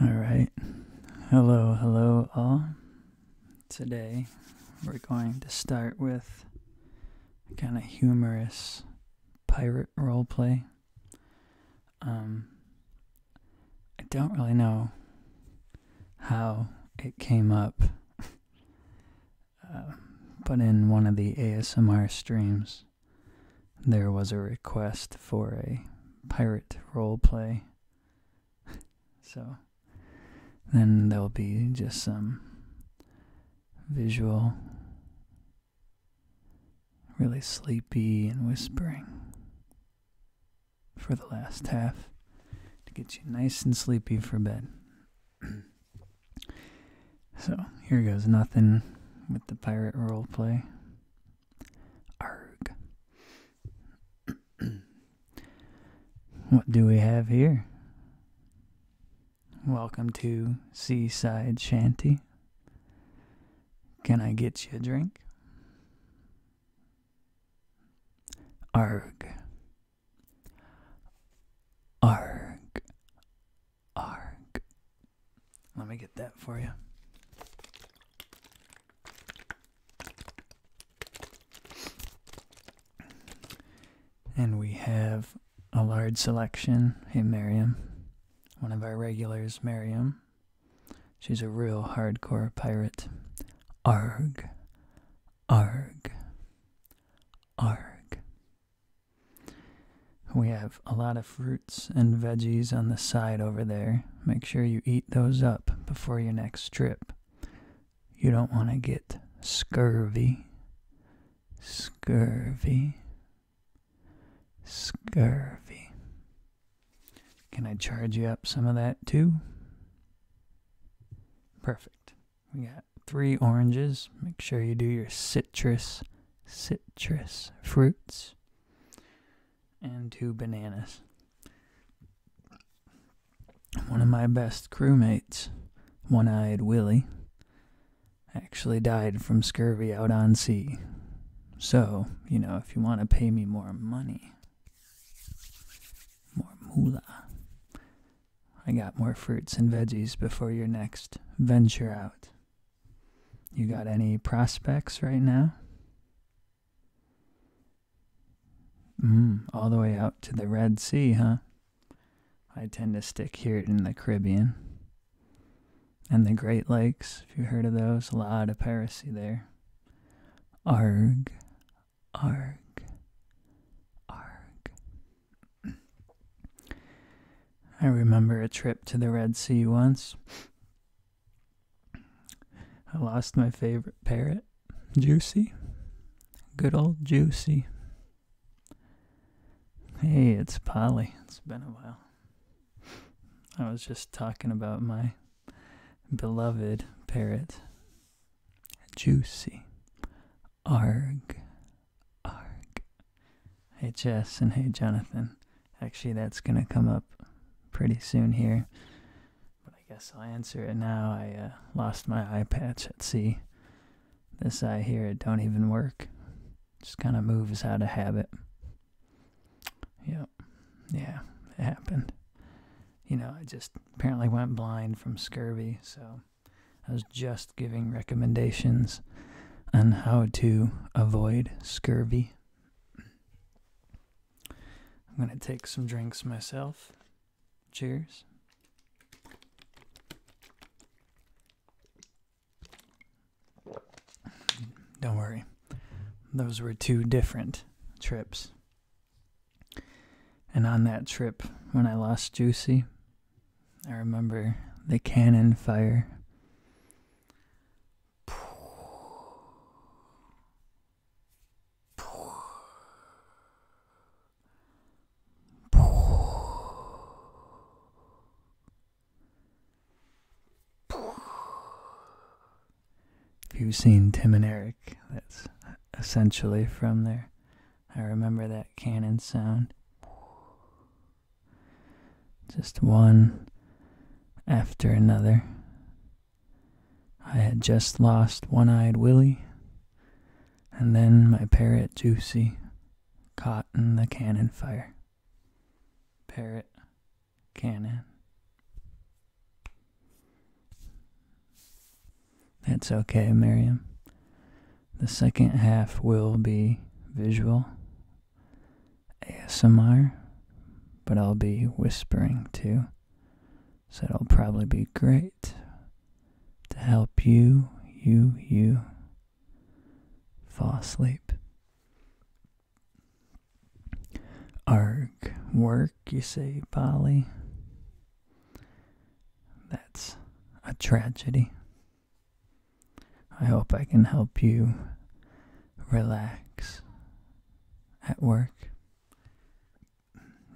All right. Hello, hello, all. Today we're going to start with a kind of humorous pirate roleplay. Um, I don't really know how it came up, uh, but in one of the ASMR streams, there was a request for a pirate roleplay so then there'll be just some visual, really sleepy and whispering for the last half to get you nice and sleepy for bed. so here goes nothing with the pirate role play. Arg. what do we have here? Welcome to Seaside Shanty. Can I get you a drink? Arg. Arg. Arg. Let me get that for you. And we have a large selection. Hey, Miriam. One of our regulars, Miriam. She's a real hardcore pirate. Arg. Arg. Arg. We have a lot of fruit and veggies on the side over there. Make sure you eat those up before your next trip. You don't want to get scurvy. Scurvy. Scurvy. Can I charge you up some of that too? Perfect. We got three oranges. Make sure you do your citrus, citrus fruits and two bananas. One of hmm. my best crewmates, one eyed Willie, actually died from scurvy out on sea. So, you know, if you want to pay me more money, more moolah, I got more fruits and veggies before your next venture out. You got any prospects right now? Mm, all the way out to the Red Sea, huh? I tend to stick here in the Caribbean. And the Great Lakes, if you heard of those, a lot of piracy there. Arg, arg, arg. I remember a trip to the Red Sea once. I lost my favorite parrot, Juicy. Good old Juicy. Hey, it's Polly. It's been a while. I was just talking about my beloved parrot, Juicy. Arg. Arg. Hey, Jess, and hey, Jonathan. Actually, that's going to come up pretty soon here. But I guess I'll answer it now. I uh, lost my eye patch at sea. This eye here, it don't even work. Just kind of moves out of habit. Yep. Yeah, it happened. You know, I just apparently went blind from scurvy, so I was just giving recommendations on how to avoid scurvy. I'm going to take some drinks myself. Cheers. Don't worry, those were two different trips. And on that trip, when I lost Juicy, I remember the cannon fire. If you've seen Tim and Eric, that's essentially from there. I remember that cannon sound. Just one after another. I had just lost One Eyed Willie, and then my parrot Juicy caught in the cannon fire. Parrot, cannon. That's okay, Miriam. The second half will be visual ASMR, but I'll be whispering too, so it'll probably be great to help you, you, you fall asleep. Arg, work, you say, Polly. That's a tragedy. I hope I can help you relax at work.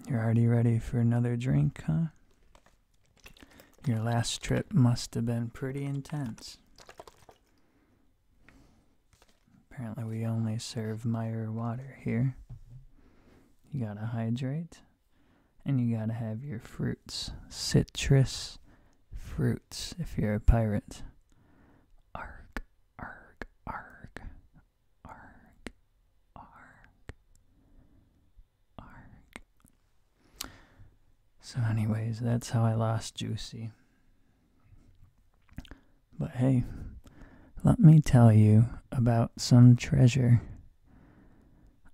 You're already ready for another drink, huh? Your last trip must have been pretty intense. Apparently, we only serve Meyer water here. You gotta hydrate and you gotta have your fruits. Citrus fruits if you're a pirate. Ark arg, arg, arg, arg, arg. So, anyways, that's how I lost Juicy. But hey, let me tell you about some treasure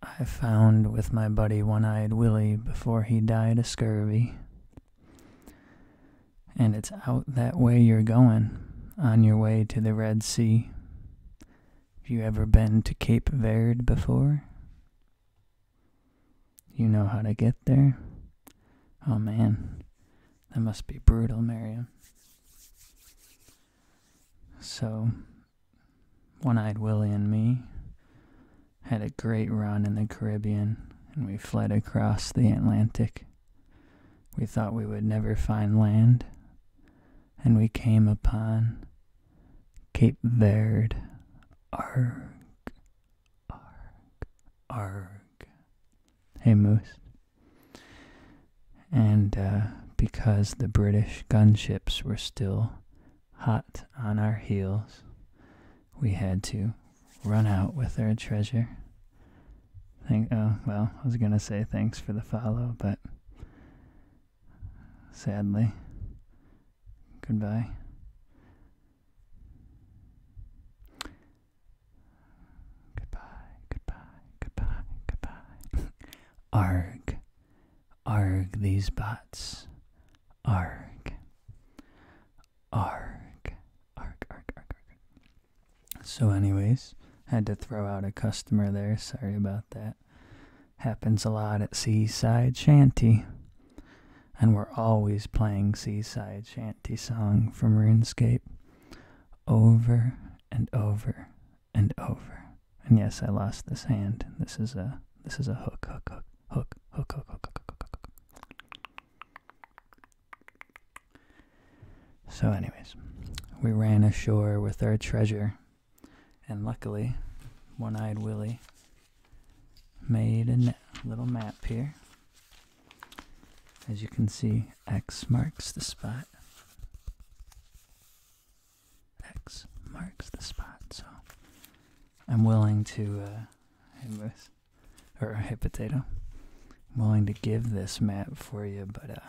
I found with my buddy One Eyed Willie before he died of scurvy. And it's out that way you're going on your way to the Red Sea. Have you ever been to Cape Verde before? You know how to get there? Oh man, that must be brutal, Miriam. So, One Eyed Willie and me had a great run in the Caribbean, and we fled across the Atlantic we thought we would never find land, and we came upon Cape Verd, Arg, arg, arg. Hey, Moose. And uh, because the British gunships were still hot on our heels, we had to run out with our treasure. Thank oh, well, I was going to say thanks for the follow, but sadly, Goodbye, goodbye, goodbye, goodbye. Arg. Arg these bots. Arg. Arg. Arg, arg, arg, arg. So, anyways, had to throw out a customer there. Sorry about that. Happens a lot at Seaside Shanty. And we're always playing Seaside Shanty song from RuneScape over and over and over. And yes, I lost this hand. This is a this is a hook, hook, hook, hook, hook, hook, hook, hook, hook, hook. So, anyways, we ran ashore with our treasure, and luckily, One Eyed Willie made a little map here. As you can see, X marks the spot. X marks the spot, so I'm willing to, uh, or hey potato. I'm willing to give this map for you, but uh,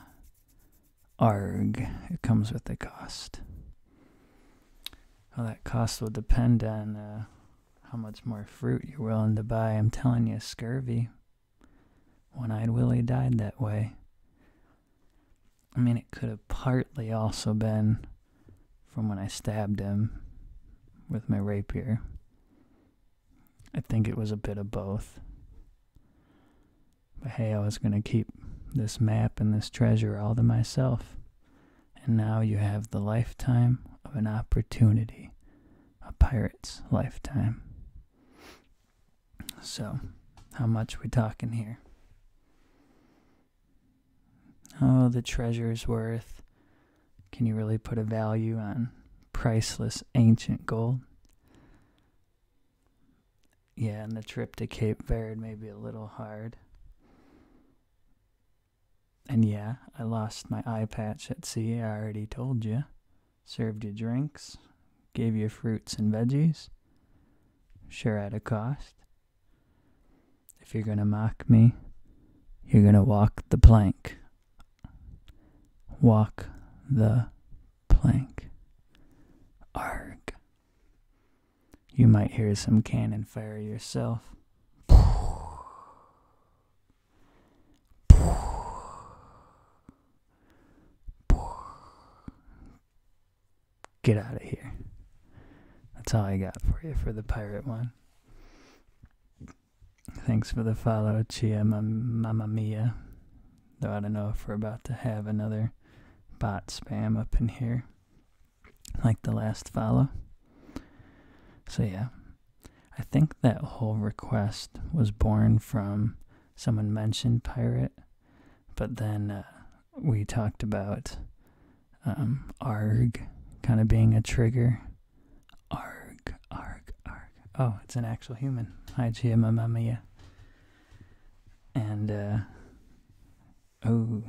arg, it comes with a cost. Well, that cost will depend on uh, how much more fruit you're willing to buy. I'm telling you, scurvy. One-eyed Willie died that way. I mean, it could have partly also been from when I stabbed him with my rapier. I think it was a bit of both. But hey, I was going to keep this map and this treasure all to myself. And now you have the lifetime of an opportunity, a pirate's lifetime. So, how much we talking here? Oh, the treasure's worth can you really put a value on priceless ancient gold? Yeah, and the trip to Cape Verde may be a little hard. And yeah, I lost my eye patch at sea, I already told you. Served you drinks, gave you fruits and veggies. Sure, at a cost. If you're gonna mock me, you're gonna walk the plank walk the plank. Arg. You might hear some cannon fire yourself. Get out of here. That's all I got for you for the pirate one. Thanks for the follow, Chia Mamma Mia. Though I don't know if we're about to have another bot spam up in here, like the last follow. So, yeah, I think that whole request was born from someone mentioned pirate, but then uh, we talked about um, ARG kind of being a trigger Arg, arg, arg. Oh, it's an actual human. Hi, Mia. And, uh, oh,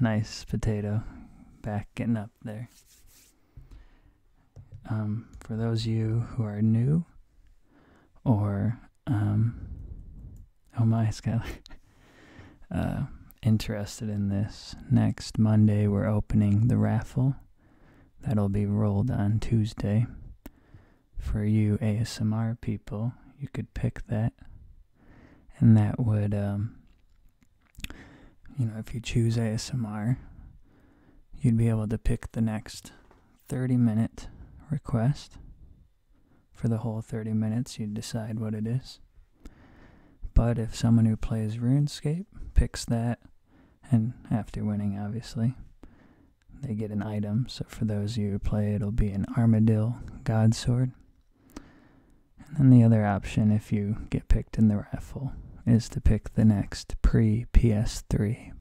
nice potato back getting up there. Um, for those of you who are new, or, um, oh my, Skylar, uh, interested in this, next Monday we're opening the raffle That'll be rolled on Tuesday. For you ASMR people, you could pick that. And that would, um, you know, if you choose ASMR, you'd be able to pick the next 30 minute request. For the whole 30 minutes, you decide what it is. But if someone who plays RuneScape picks that and after winning, obviously, they get an item. So for those you who play, it'll be an armadillo God Sword. And then the other option, if you get picked in the rifle, is to pick the next pre PS3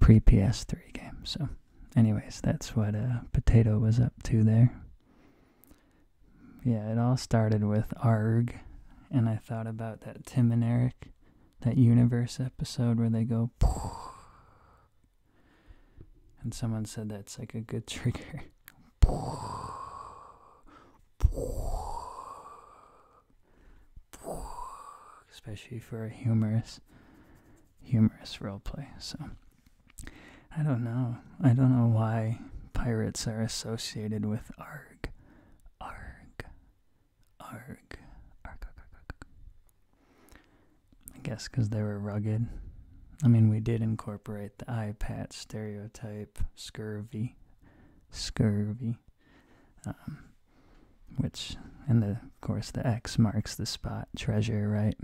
Pre PS3 game. So anyways, that's what a uh, Potato was up to there. Yeah, it all started with ARG, and I thought about that Tim and Eric, that universe episode where they go, and someone said that's like a good trigger. Especially for a humorous, humorous role play. So. I don't know. I don't know why pirates are associated with arg. Arg. Arg. Arg. I guess because they were rugged. I mean, we did incorporate the eye patch stereotype, scurvy, scurvy, um, which, and of course, the X marks the spot, treasure, right?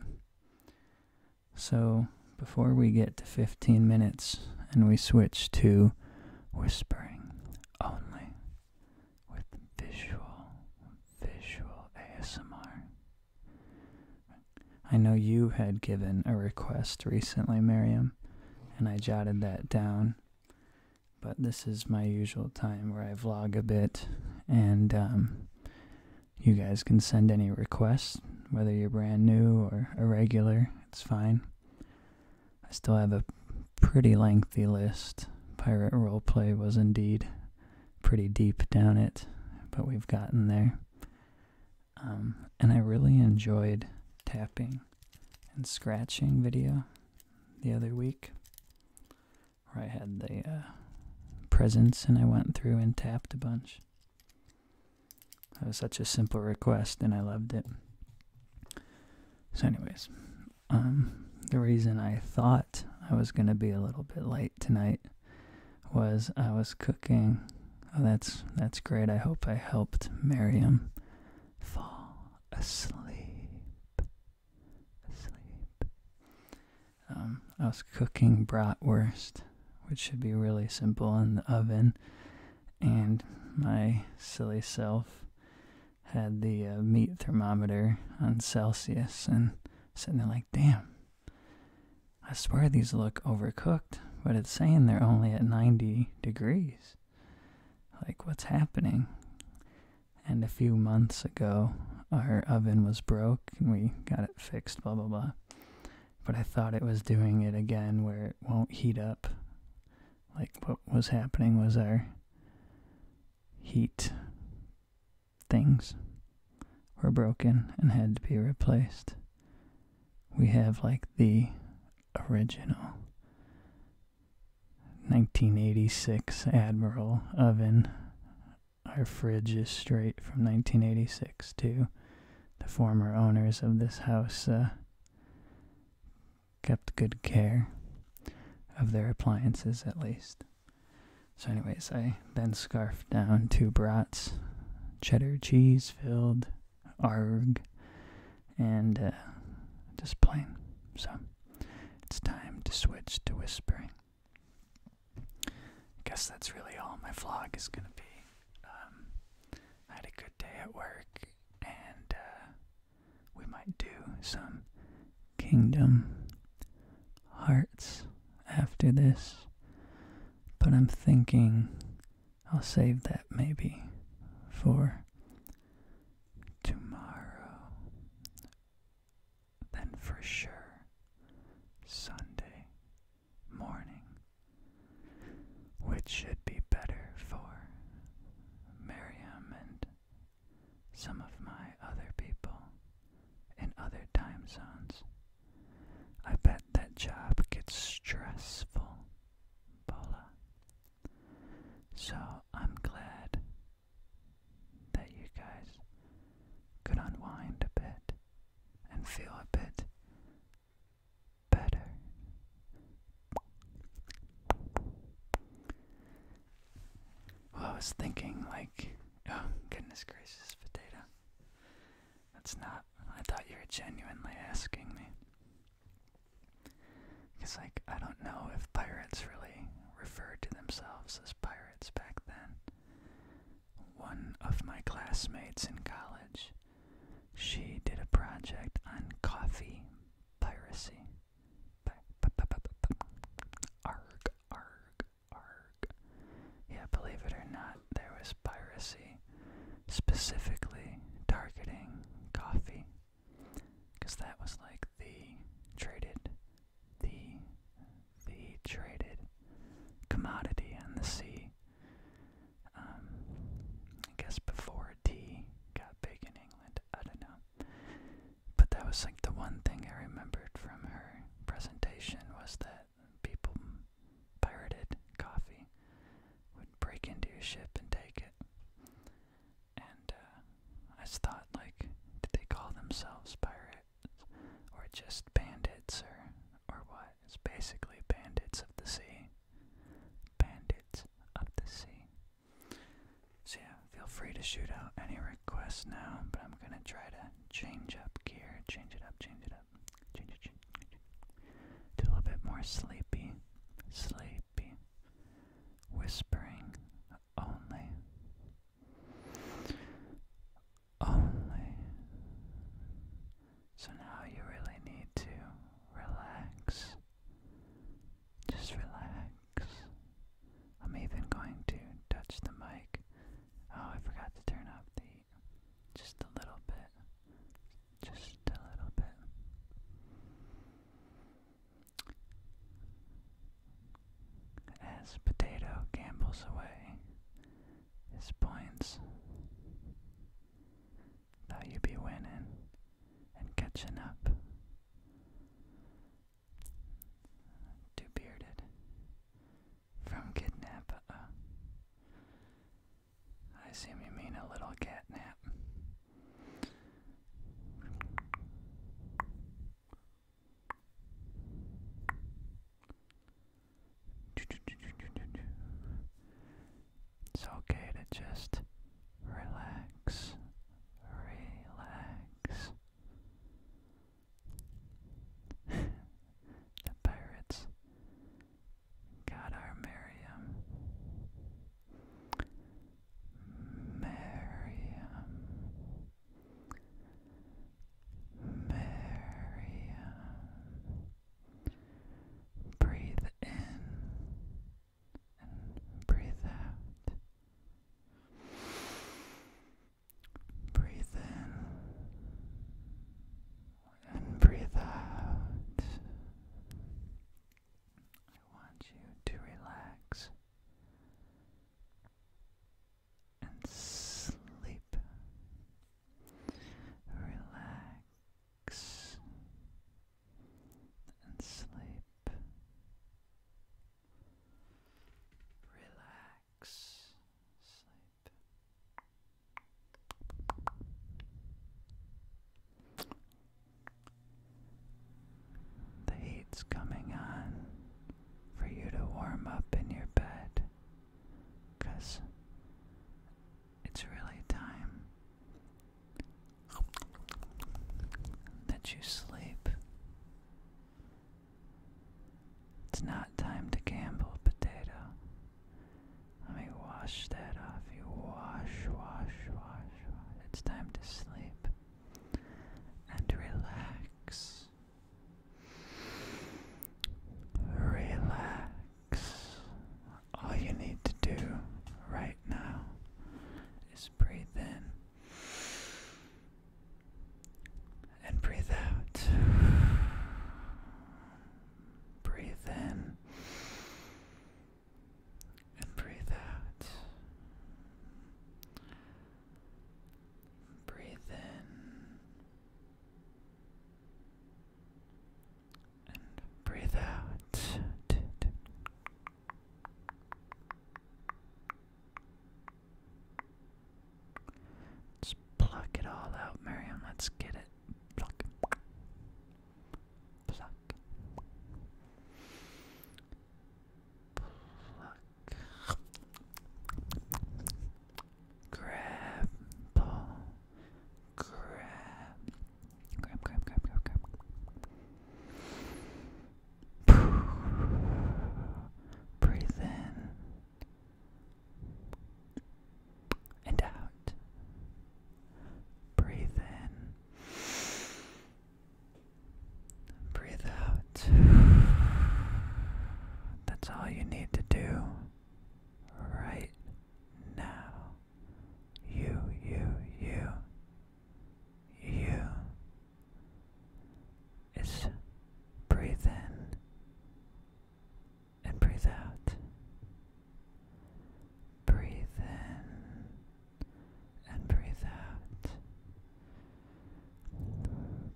So, before we get to 15 minutes and we switch to whispering only with visual, visual ASMR, I know you had given a request recently, Miriam, and I jotted that down. But this is my usual time where I vlog a bit and um, you guys can send any requests, whether you're brand new or irregular, it's fine. I still have a pretty lengthy list. Pirate roleplay was indeed pretty deep down it, but we've gotten there. Um, and I really enjoyed tapping and scratching video the other week where I had the uh, presents and I went through and tapped a bunch. That was such a simple request and I loved it. So, anyways, um, the reason I thought I was going to be a little bit late tonight was I was cooking. Oh, that's that's great. I hope I helped Miriam fall Asleep. I um, was cooking bratwurst, which should be really simple in the oven, and my silly self had the uh, meat thermometer on Celsius and sitting there like, damn, I swear these look overcooked, but it's saying they're only at 90 degrees. Like, what's happening? And a few months ago, our oven was broke and we got it fixed, blah blah blah. But I thought it was doing it again where it won't heat up. Like what was happening was our heat things were broken and had to be replaced. We have like the original 1986 Admiral oven our fridge is straight from 1986 too. The former owners of this house uh, kept good care of their appliances at least. So, anyways, I then scarfed down two brats, cheddar cheese filled, arg, and uh, just plain. So, it's time to switch to whispering. I guess that's really all my vlog is gonna be. Um, I had a good day at work, and uh, we might do some Kingdom Hearts after this, but I'm thinking I'll save that maybe for tomorrow then for sure Sunday morning, which should be better for Miriam and some of my other people in other time zones. I bet that job gets stressful, Paula. So I'm glad that you guys could unwind a bit and feel a bit better. Well, I was thinking, like, oh, goodness gracious, potato. That's not, I thought you were genuinely asking me. Because, like, I don't know if pirates really referred to themselves as pirates back then one of my classmates in college. She did a project on coffee piracy. Arg, arg, arg. Yeah, believe it or not, there was piracy specifically targeting coffee. Because that was like the traded the the traded commodity on the sea. Um, I guess before tea got big in England, I don't know. But that was like the one thing I remembered from her presentation was that people pirated coffee, would break into your ship and take it. And uh, I thought, like, did they call themselves pirate or just bandits or or what? It's basically bandits of the sea. Bandits of the sea. So yeah, feel free to shoot out any requests now, but I'm gonna try to change up gear, change it up, change it up, change it, change it, a little bit more sleepy, sleepy, whispering only only. So now you really need to relax. Just relax. I'm even going to touch the mic. Oh, I forgot to turn up the. just a little bit. Just a little bit as Potato gambles away his points. Thought you would be winning and catching up. Too bearded from kidnap. I assume you mean a little catnap. It's okay to just relax, relax. the pirates got our Miriam. Miriam. Miriam. Breathe in and breathe out. Breathe in and breathe out. I want you to relax and sleep. Relax and sleep. Relax, sleep. The heat's coming on for you to warm up in your bed because it's really time that you sleep. It's not time to gamble, potato. Let me wash that off you. Wash, wash, wash, wash. It's time to sleep and relax. Relax. All you need to do right now is breathe in and breathe out. Breathe in and breathe out. Breathe in breathe out. Let's pluck it all out, Miriam. Let's get it. Pluck. Pluck. Pluck. Grab, ball, grab, grab, grab, grab, grab, grab. Breathe in and out. Breathe in. Breathe out. That's all you need to do right now. You, you, you, you is breathe in and breathe out. Breathe in and breathe out.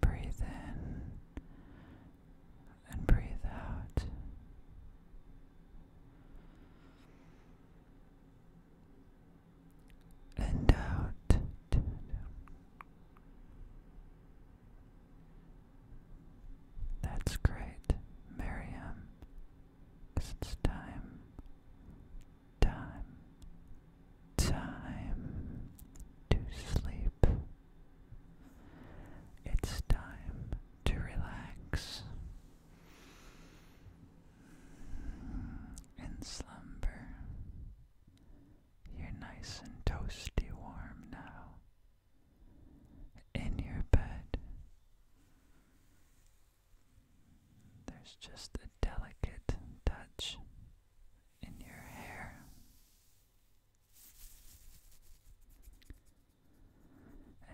Breathe in and breathe out. And out. That's great, Miriam. it's time, time, time to sleep. It's time to relax in slumber. You're nice and toasty warm now in your bed. There's just a delicate touch in your hair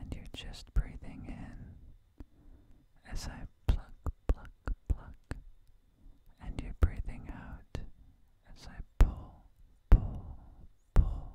and you're just breathing in as I pluck, pluck, pluck. And you're breathing out as I pull, pull, pull.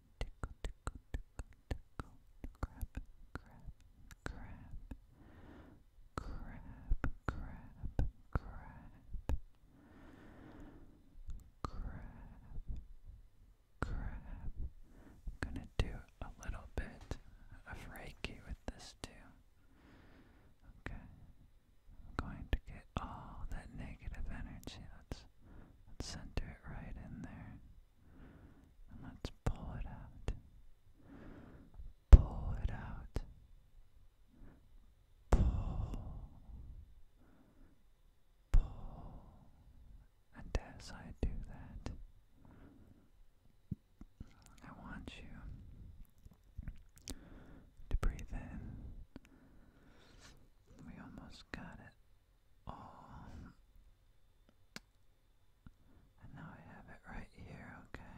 crab, crab, crab, crab, crab, crab, crab, crab. I'm gonna do a little bit of Reiki with this too. Okay. I'm going to get all that negative energy. let's center it right in there. And let's pull it out. Pull it out. Pull. Pull. And as I do that, I want you to breathe in. We almost got it and now I have it right here, okay.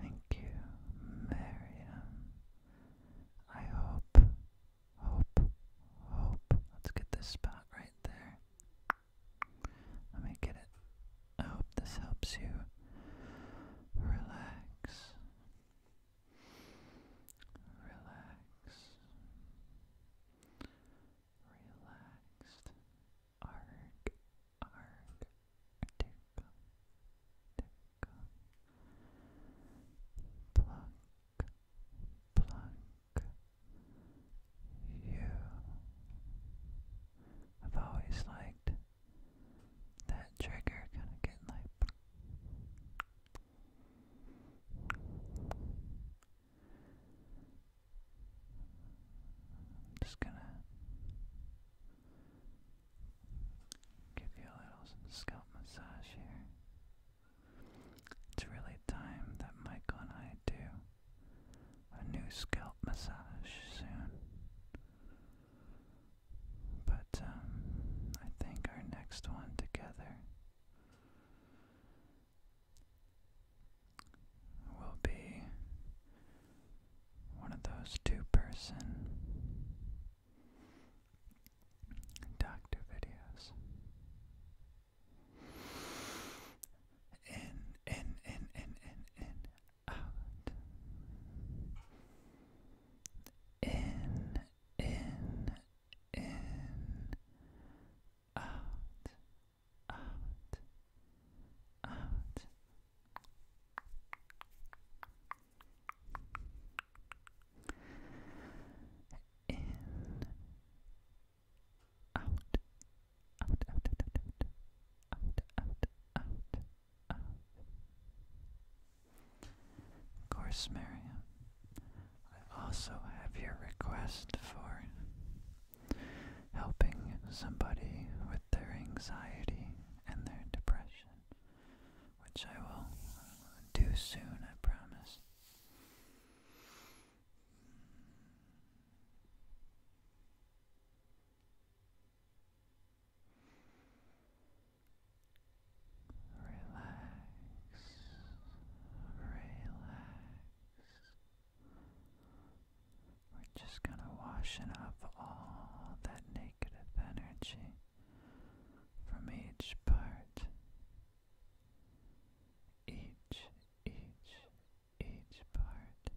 Thank you, Miriam. I hope, hope, hope. Let's get this spot right there. Let me get it. hope this helps you relax. Relax. Relaxed. Arg. Arg. Tickle. Tickle. Plunk. Plunk. You. I've always liked that trigger kind of getting like I'm just gonna give you a little scalp massage here. It's really time that Michael and I do a new scalp massage soon. But um, I think our next one together will be one of those two person doctor videos. In, in, in, in, in, in, out. In, in, in, out, out, out. In, out, out, out, out, out, out, out, out, Of course, Miriam, I also have your request for helping somebody with their anxiety and their depression, which I will do soon, I promise relax, relax. We're just kind of washing up all that negative energy from each part. Each, each, each part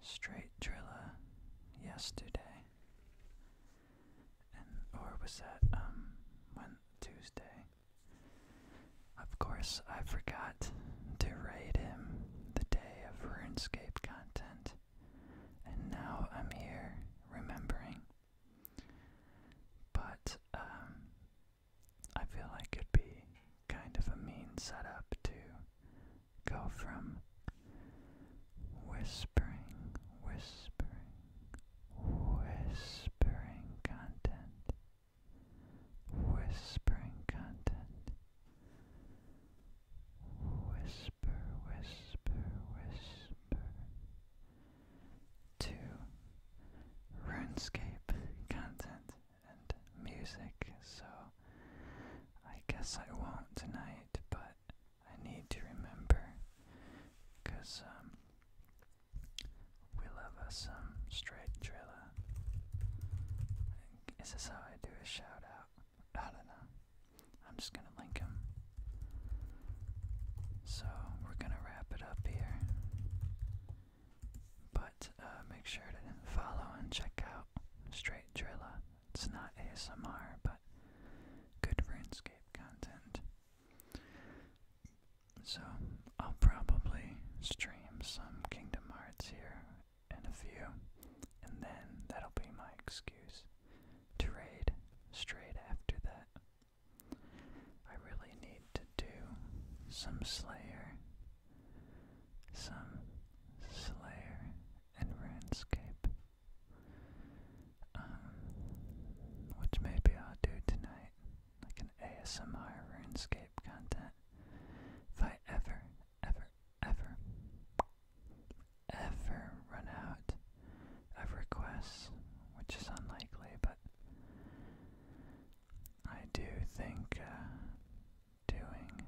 straight Trilla yesterday, and or was that um when Tuesday? Of course, I forgot to raid him the day of RuneScape content, and now I'm here remembering. But um, I feel like it'd be kind of a mean setup to go from whispering, whispering, whispering content, whispering content, whisper, whisper, whisper, to RuneScape content and music, so I guess I won't tonight, but I need to remember because um, we love us some straight driller. Is this how I do a shout out? I don't know. I'm just gonna link him. So we're gonna wrap it up here. But uh, make sure to follow and check out Straight Drilla. It's not ASMR, but good RuneScape content. So I'll probably stream some Kingdom Hearts here and a few, and then that'll be my excuse to raid straight after that. I really need to do some Slayer some Slayer and RuneScape, um, which maybe I'll do tonight, like an ASMR RuneScape content, if I ever, ever, ever, ever run out of requests, which is unlikely, but I do think, uh, doing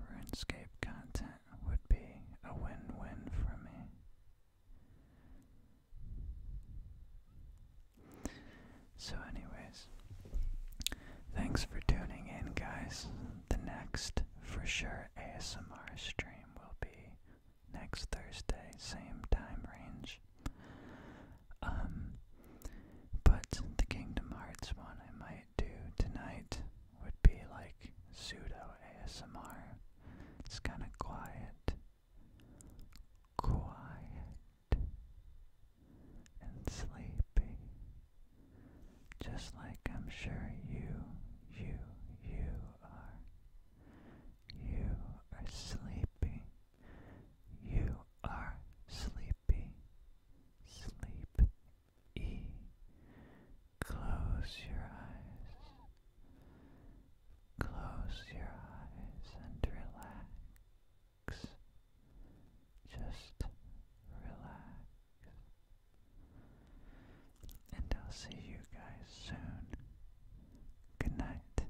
RuneScape content would be a win win for me. So, anyways, thanks for tuning in, guys. The next, for sure, ASMR stream will be next Thursday, same time range. Um, but the Kingdom Hearts one I might do tonight would be like pseudo ASMR. It's kind of quiet, quiet, and sleepy. Just like I'm sure you, you, you are. You are sleepy you are sleepy. Sleep Close your eyes. Close your eyes and relax. Just relax. And I'll see you guys soon. Good night.